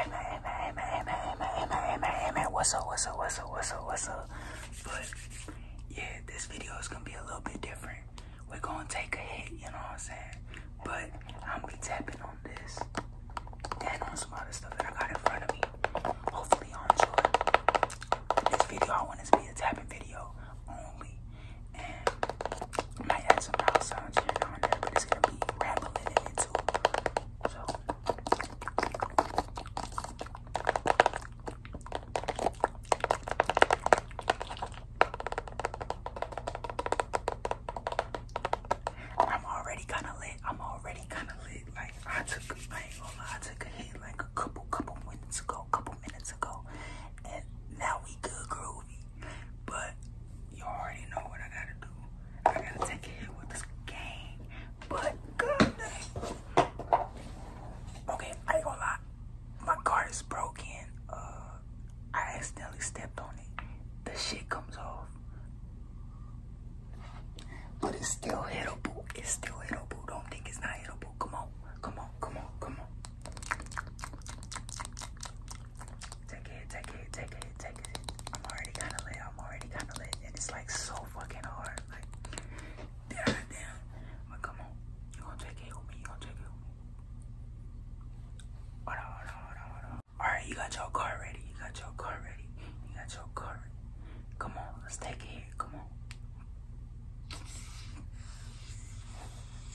Emma, Emma, Emma, Emma, Emma, Emma, Emma, Emma, what's up, what's up, what's up, what's up, what's up? But yeah, this video is gonna be a little bit different. We're gonna take a hit, you know what I'm saying? But I'm gonna be tapping on this and on some other stuff that I got in front of me. Hopefully, y'all enjoy this video. I want this to be a tapping video only, and I might add some house sounds here and there, but it's gonna be rambling into. So oh, I'm already kinda lit. I'm already kinda lit. Like I took I ain't oh, I took a hit like a couple couple minutes ago, couple minutes ago. And now we good groovy. But you already know what I gotta do. I gotta take a hit with this game. But god Okay, I gonna lie. My car is broken. Uh I accidentally stepped on it. The shit comes off. But it's still hitable. It's still hitable. Don't think it's not hitable. Come on. Come on. Come on. Come on. Take it, take it, take it, take it. I'm already kind of late. I'm already kind of late, and it's like so fucking hard. Like, damn, But come on, you gonna take it with me? You gonna take it? Hold on, hold on, hold on, hold on. All right, you got your car ready. You got your car ready. You got your car. Ready. Come on, let's take it. Come on.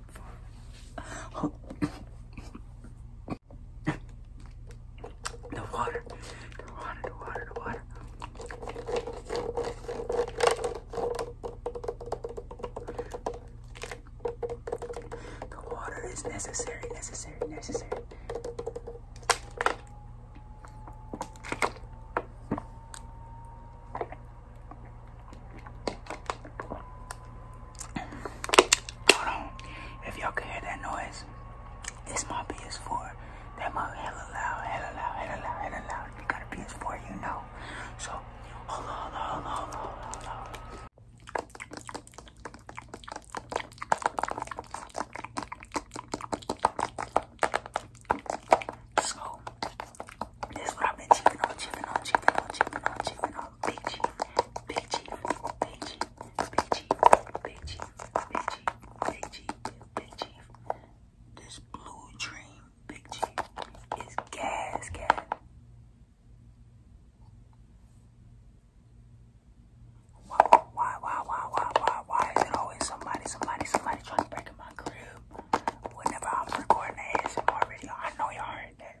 the water, the water, the water, the water. The water is necessary, necessary, necessary. Hold on. If y'all can hear that noise, this my PS4. That my hella loud, hella loud, hella loud, hella loud. You got a PS4, you know. So, hold on, hold on, hold on, hold on. Hold on. So, this is what I've been cheaping on, cheaping on, cheaping on, cheaping on, cheaping on. Big cheap, big cheap, big cheap, big cheap, big cheap, big cheap, big cheap, big cheap. This blue dream big cheap is gas gas. Why, why, why, why, why, why, why is it always somebody, somebody, somebody trying to break in my crib? Whenever I was recording the ASMR video, I know y'all heard that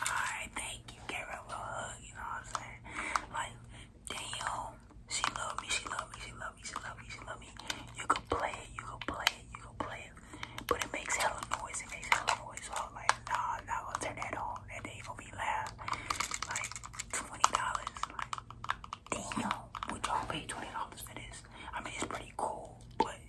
Alright, thank you. Gave her hug, you know what I'm saying? Like, damn, she love me, she love me, she love me, she love me, she love me. You can play it, you can play it, you can play it. But it makes hella noise, it makes hella noise. So I was like, nah, I'm not gonna turn that on. And day gonna be loud. Like, $20. Like, damn, would y'all pay $20 for this? I mean, it's pretty cool, but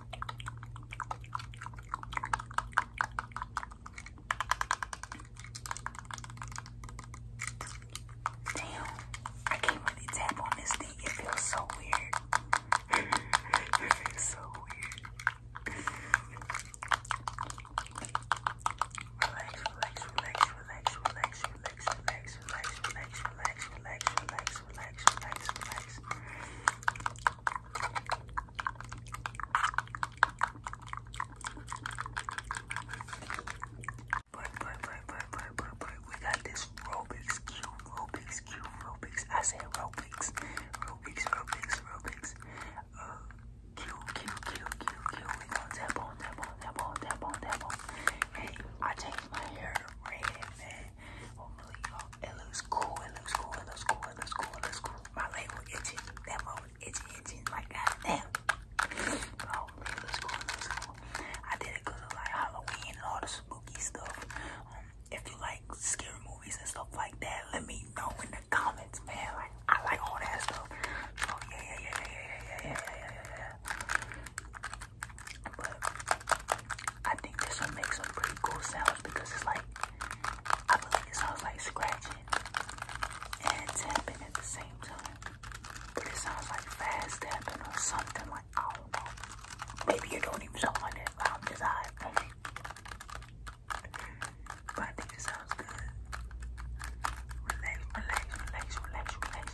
Damn, I can't really tap on this thing. It feels so weird. so weird. relax, relax, relax, relax, relax, relax, relax, relax, relax, relax, relax, relax, relax, relax, relax. But, but, but, but, we got this Robix Cube, Robix Cube, Robix. I said Robix, Robix, Robix, Robix. Q, Q, Q, Q, Q. We going tap on, tap on, tap on, tap on, tap on. Hey, I changed my hair red, man it looks cool, it looks cool, it looks cool, it looks cool, it looks cool. My leg was itching, that moment itching, itching, like goddamn. it looks cool, it looks cool. I did it because of like Halloween and all the spooky stuff. Um, if you like scary movies and stuff like that, let me know in the comments, man. Like, I like all that stuff. So, yeah, yeah, yeah, yeah, yeah, yeah, yeah. But I think this one makes some pretty cool sounds because it's like, I feel like it sounds like scratching and tapping at the same time. But it sounds like fast tapping or something like, I don't know. Maybe it don't even sound like that, I'm just high. But I think it sounds good. Relax, relax, relax, relax, relax.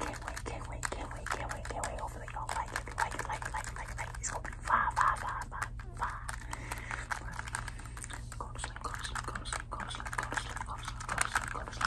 wait, can't wait, can't wait, can't wait, can't wait, can't wait. Hopefully y'all like it, like it, like it, like it, like it, It's gonna be five, five, five, five, five. Go to sleep, go to sleep, go to sleep, go to sleep, go to sleep, go to sleep, go to sleep, go to sleep. Go to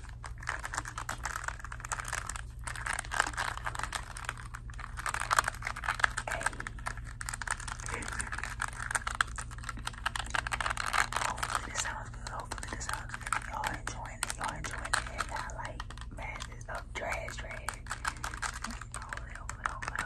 Hopefully this sounds good. Hopefully this sounds good. Y'all enjoying it. Y'all enjoying it. And like masses of trash, trash. Hold it, hold it,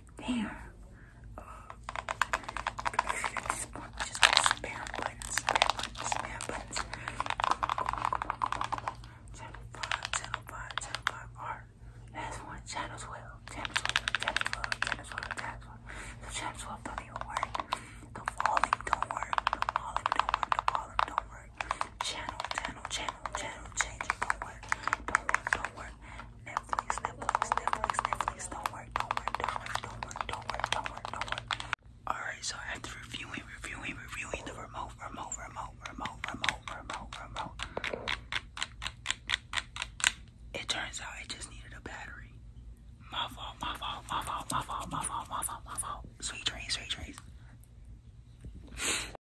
Damn. Uh, just, just spam buttons, spam buttons, spam buttons. Channel 5, channel 5, channel 5 art. Last one, channel 12, channel 12, channel 12, channel 12, channel 12. So channel 12 don't even work. The volume don't work. The volume don't work. The volume don't work. Channel, channel, channel. Alright, so after reviewing, reviewing, reviewing the remote, remote, remote, remote, remote, remote, remote. It turns out it just needed a battery. My fault, my fault, my fault, my fault, my fault, my fault, my fault. Sweet dreams, sweet dreams.